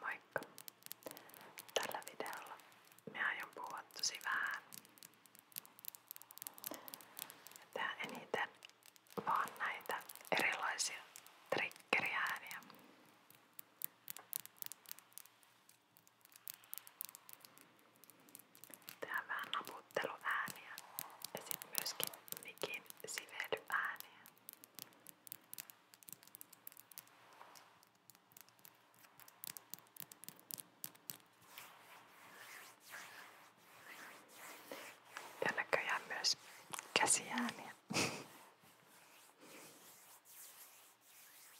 Moikka! Tällä videolla minä aion puhua tosi vähän. Ja tehdään eniten vaan näitä erilaisia triggeriääniä. Tehdään vähän naputteluääniä ja sitten myöskin mikin sivelyääniä. Ja näköjään myös käsiääniä.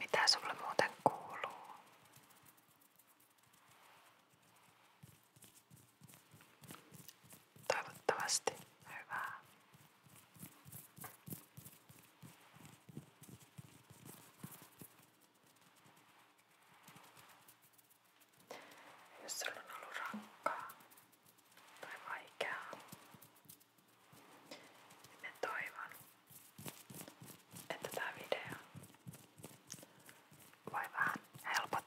Mitä sulle muuten kuuluu? Toivottavasti hyvää. Jos sulla on ollut rankkaa tai vaikeaa, niin mä toivon, että tämä video voi vähän helpottaa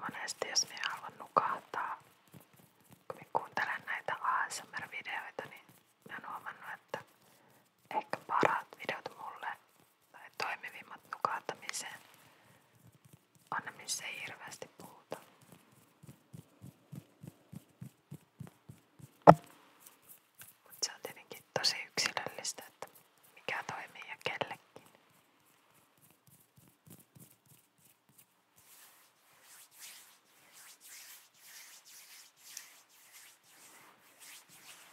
Monesti jos minä haluan nukahtaa, kun minä kuuntelen näitä ASMR-videoita, niin minä olen huomannut, että ehkä parat videot mulle toimivimmat nukahtamiseen. Anna missä ei hirveästi puhuta. Mutta se on tietenkin tosi yksilöllistä, että mikä toimii ja kellekin.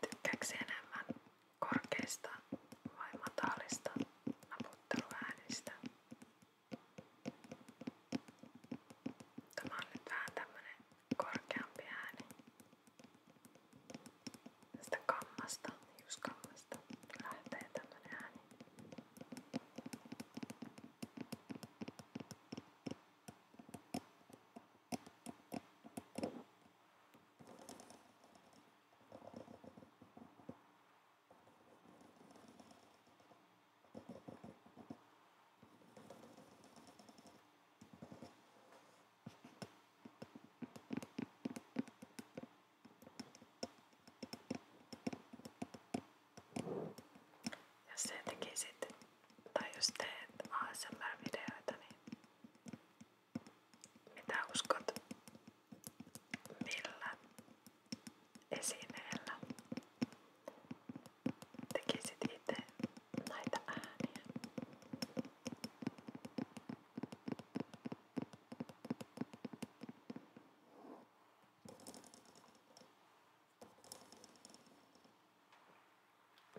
Tykkääks enemmän korkeista vai matalista naputteluäänistä. Tämä on nyt vähän tämmönen korkeampi ääni. Tästä kammasta, hiuskammasta lähtee tämmönen ääni. Jos se tekisit tai jos teet ASMR-videoita, niin mitä uskot? Millä esineellä tekisit itse näitä ääniä?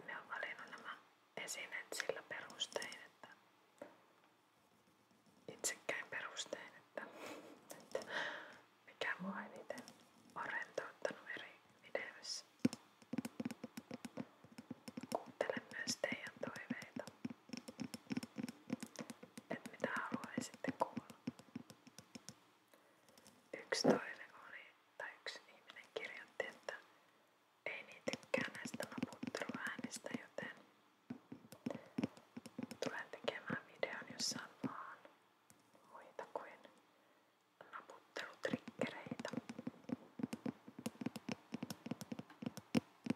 Me on valinnut nämä esineet sillä perustein, että itsekkäin perustein, että, että mikä mua eniten on rentouttanut eri videoissa. Kuuntelen myös teidän toiveita, että mitä haluaisitte kuulla. Yksi toive oli, tai yksi ihminen kirjoitti, että ei niin tykkää näistä naputteluäänistä, joten tulen tekemään videon, jossa on vaan muita kuin naputtelutrikkereitä. Toivottavasti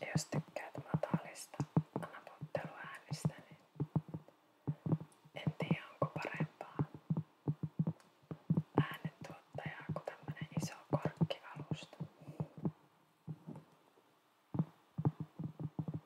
Ja jos tykkäät matalista anapotteluäänistä, niin en tiedä onko parempaa äänentuottajaa kuin tämmönen iso korkkivalusta.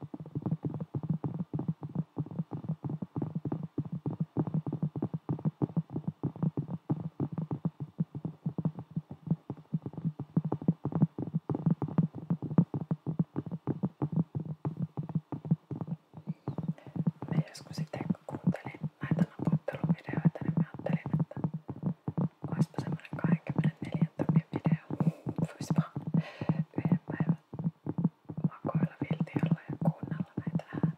Mä joskus sitten kun kuuntelin näitä napotteluvideoita, niin mä ajattelin, että olisipa semmonen 24 tunnin video. Voisi vaan yhden päivän makoilla viltiolla ja kuunnella näitä ääniä.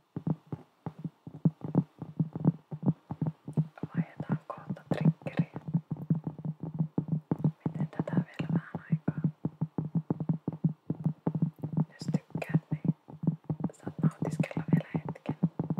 Vaihdetaan kohta triggeriä. Miten tätä vielä vähän aikaa? Jos tykkäät, niin saat nautiskella vielä hetken. Mä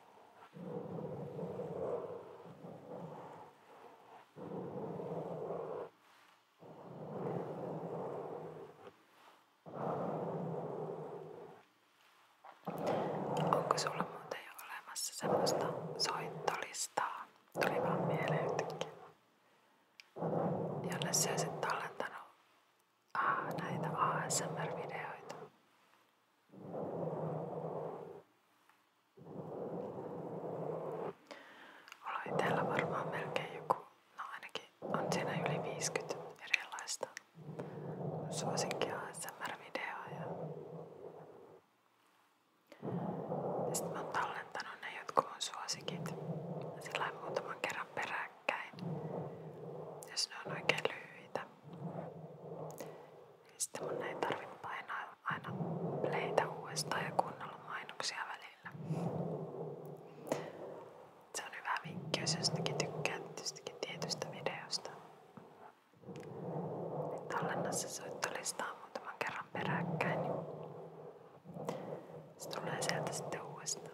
Onko sulla muuten jo olemassa semmoista soittolistaa? Tuli vaan mieleen jotenkin. Jolle sä olisit tallentanut ah, näitä ASMR-videoita. Mulla on itellä varmaan melkein joku, no ainakin on siinä yli 50 erilaista suosinkia ASMR-videoa ja ja sit mä oon tallentanut ne jotkut mun suosikit sillä muutaman kerran peräkkäin, jos ne on oikein lyhyitä. Sitten mun ei tarvitse painaa aina pleitä uudestaan ja kuunnella mainoksia välillä. Se on hyvä vinkki, jos jostakin tykkää jostakin tietystä videosta. Tallenna se soittolistaa muutaman kerran peräkkäin. Niin se tulee sieltä sitten uudestaan.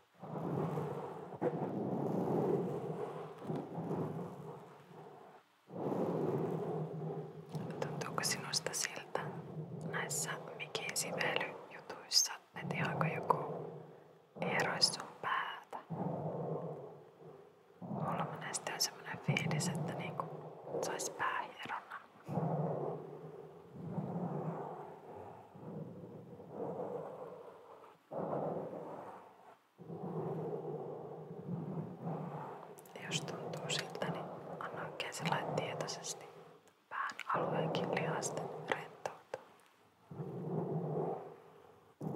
Tuntuuko sinusta siltä näissä mikin sivelyjutuissa, että ihan joku hieroisi sun päätä? Mulla monesti on semmonen fiilis, että niinku sais päähieronnan. Jos tuntuu siltä, niin anna oikein tietoisesti pään alueenkin lihasten rentoutua.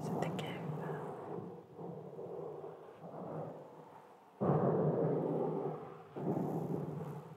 Se tekee hyvää.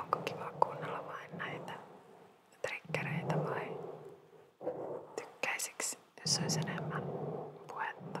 Onko kiva kuunnella vain näitä trikkereitä vai tykkäisiks, jos olisi enemmän puhetta?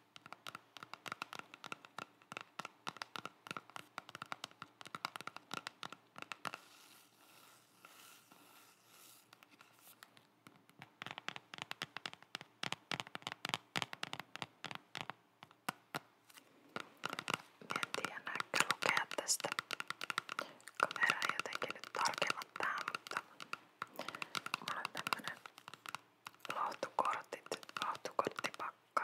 En tiedä näkö lukea tästä kameraa jotenkin nyt tarkemmin tähän, mutta mulla on tämmönen Lohtukortit, lohtukorttipakka.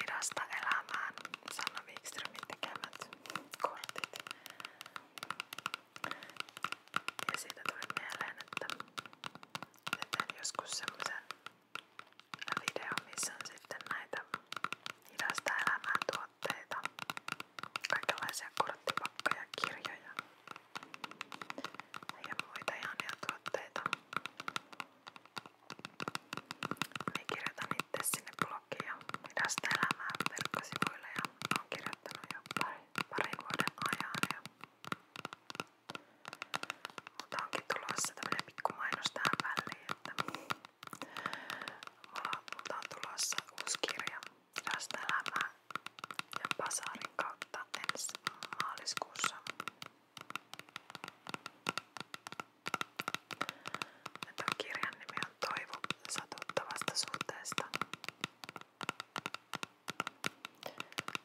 Hidasta elämään Sanna Wikströmin tekemät kortit. Ja siitä tuli mieleen, että teen joskus semmoisen videon, missä on sitten näitä hidasta elämään tuotteita. Kaikenlaisia korttipakkoja, kirjoja ja muita ihania tuotteita. Minä niin kirjoitan itse sinne blogiin ja hidasta elämää verkkosivuille ja olen kirjoittanut jo pari, parin vuoden ajan. Ja mutta onkin tulossa tämmönen pikku mainos tähän väliin, että mulla, mulla on tulossa uusi kirja hidasta elämää ja Pasarin kautta ensi maaliskuussa. Ja tämän kirjan nimi on Toivo satuttavasta suhteesta.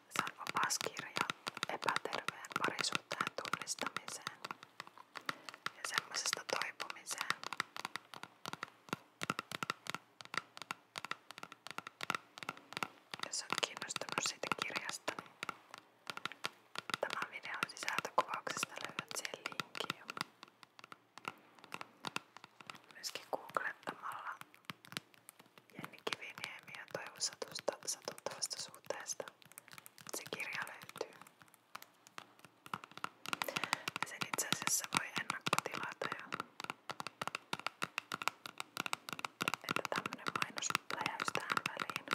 Se on opas kirja epäterveen parisuhteen tunnistamiseen ja semmoisesta toipumiseen. Jos olet kiinnostunut siitä kirjasta, niin tämän videon sisältökuvauksesta löydät sen linkin jo. Myöskin googlettamalla Jenni Kiviniemi ja Toivo Satusta satuttavasta suhteesta se kirja löytyy. Ja sen itse asiassa voi ennakkotilata jo että tämmönen mainos läjäys tähän väliin.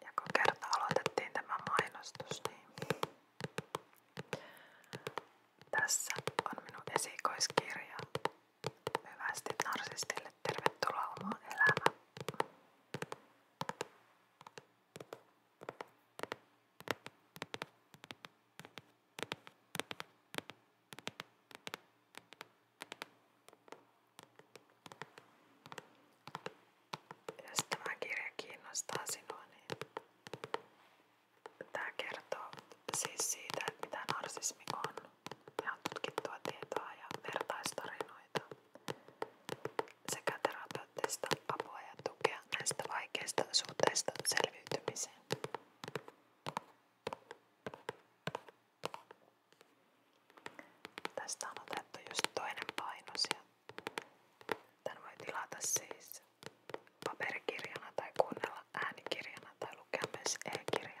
Ja kun kerta aloitettiin tämä mainostus, niin tässä on minun esikoiskirja Hyvästi narsistille. Tervetuloa oma elämä. Jos tämä kirja niin tämä kertoo siis siitä, mitä narsismi on. Ja on tutkittua tietoa ja vertaistarinoita sekä terapeuttista apua ja tukea näistä vaikeista suhteista selviytymiseen. Tästä on otettu just toinen painos ja tän voi tilata siis paperikirjana tai kuunnella äänikirjana tai lukea myös e-kirjana.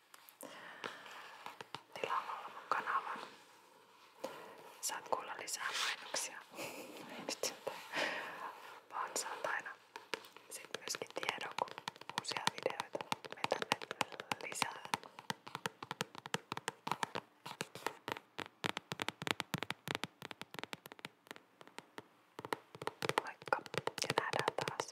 tilaamalla mun kanavan. Saat kuulla lisää mainoksia. Ei nyt sentään. Vaan saat aina sit myöskin tiedon, kun uusia videoita me tänne lisää. Moikka ja nähdään taas.